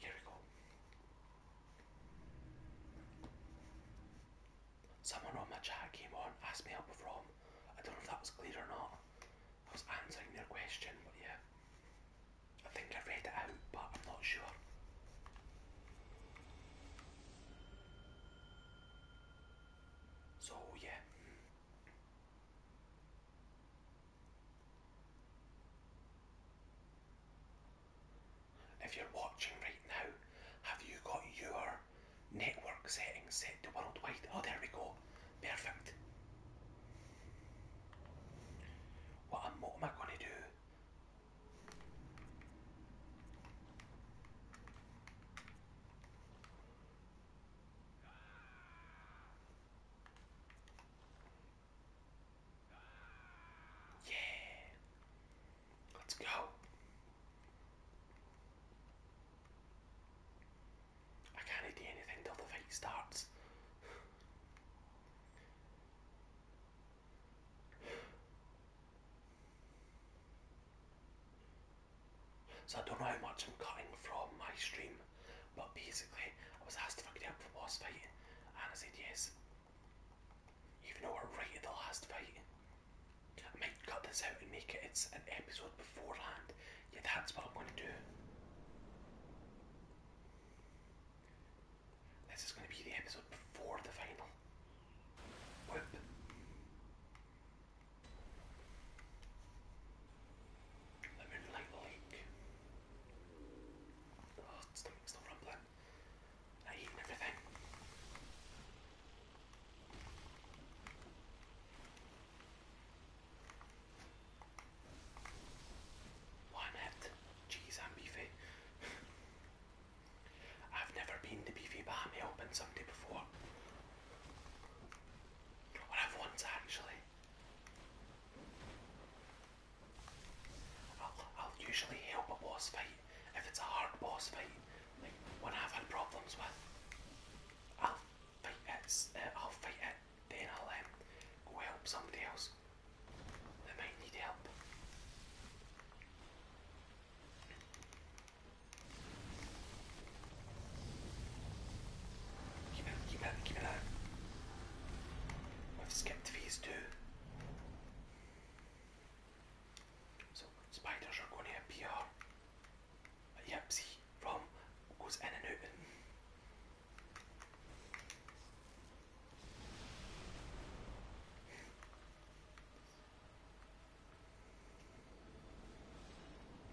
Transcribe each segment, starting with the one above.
Here we go. Someone on my chat came on, asked me with from. I don't know if that was clear or not. I was answering their question, but yeah. I think I read it out, but I'm not sure. So yeah. If you're watching right now, have you got your network settings set to worldwide? Oh, there we go. Perfect. What am, I going to do? Yeah. Let's go. I can't do anything till the fight starts. So I don't know how much I'm cutting from my stream. But basically, I was asked if I could help the boss fight, and I said yes. Even though we're right at the last fight. I might cut this out and make it it's an episode beforehand. Yeah, that's what I'm going to do. This is going to be the episode before the final. Whoop. The Moonlight Lake. Oh, stomach's still rumbling. I eaten everything. One Jeez, I'm beefy. I've never been to Beefy Bam helping somebody before. Or I've once actually. I'll, I'll usually help a boss fight if it's a hard boss fight, like I've had problems with. I'll fight it. Uh, I'll fight it. Then I'll um, go help somebody else that might need help. Keep it, keep it, keep it up. We've skipped phase two. So spiders are going to appear. Yep, see, from goes in and out.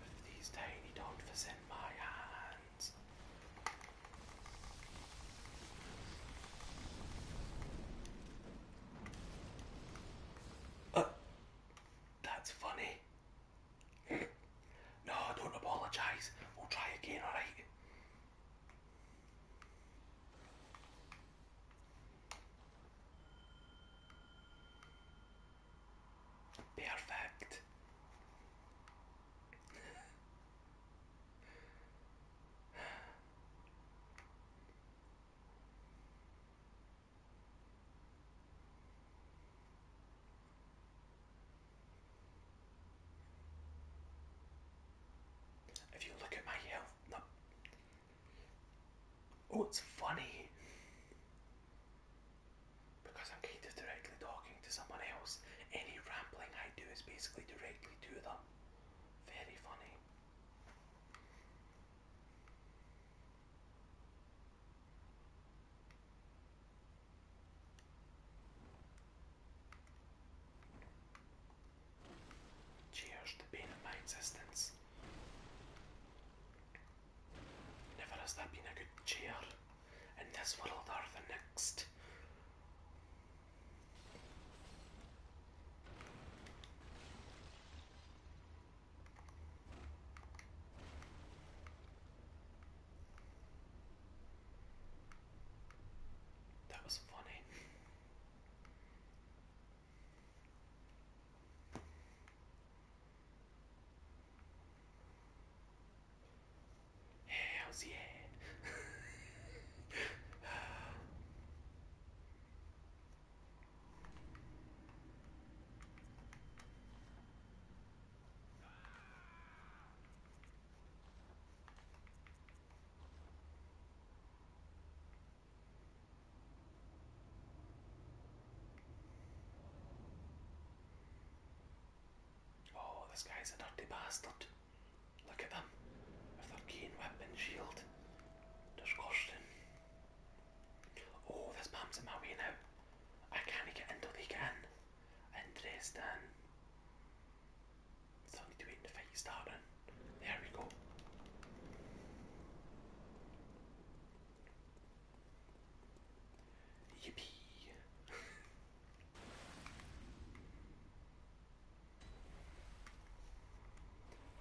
with these tiny dolphins in my hand hands. Uh, that's funny. no, don't apologise. We'll try again, alright? Perfect. If you look at my health, Oh, it's funny because I'm kind of directly talking to someone else. Any rambling I do is basically directly to them. Very funny. Cheers to pain of my existence. Never has there been a good chair in this world or the next. That was funny. Hells yeah. Oh, this guy's a dirty bastard. Look at them with their keen whip and shield. Disgusting. Oh, this man's in my way now. I can't get in till they get in. Interesting. Still need to wait the fight starting. There we go. Yippee.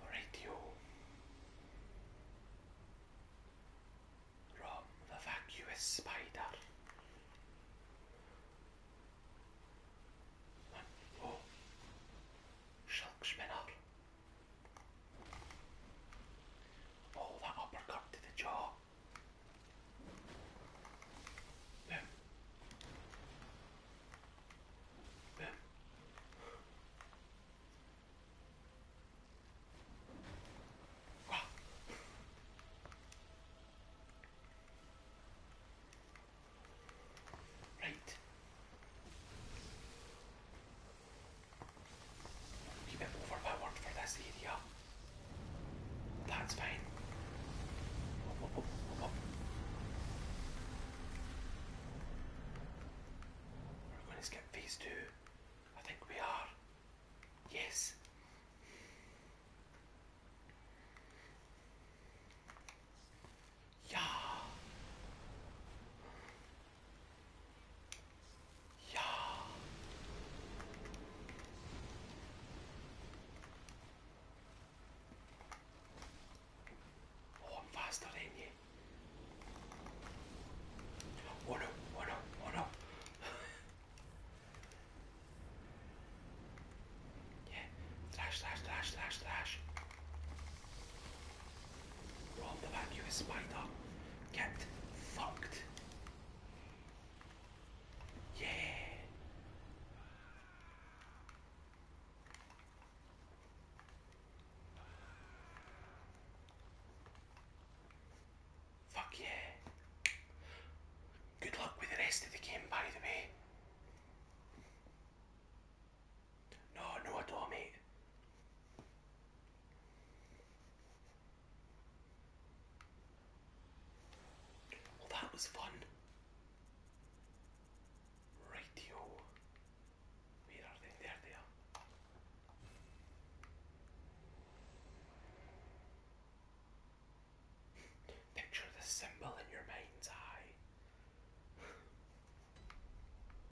Alright, Rob the vacuous spider. One, oh. Shulk spinner. Oh, that uppercut to the jaw. Boom. Boom. Right. Keep it overpowered for this area. That's fine. We're going to skip phase two. I think we are. Yes. Yeah. いやおファーストレイにおらおらおら Yeah, slash, slash, slash, slash, slash. Roll the vacuum spider. Get fucked. Yeah. Fuck yeah. Good luck with the rest of the game, by the way. No, no at all, Well, that was fun. Rightio. Where are they? There they are. Picture the symbol in your mind's eye.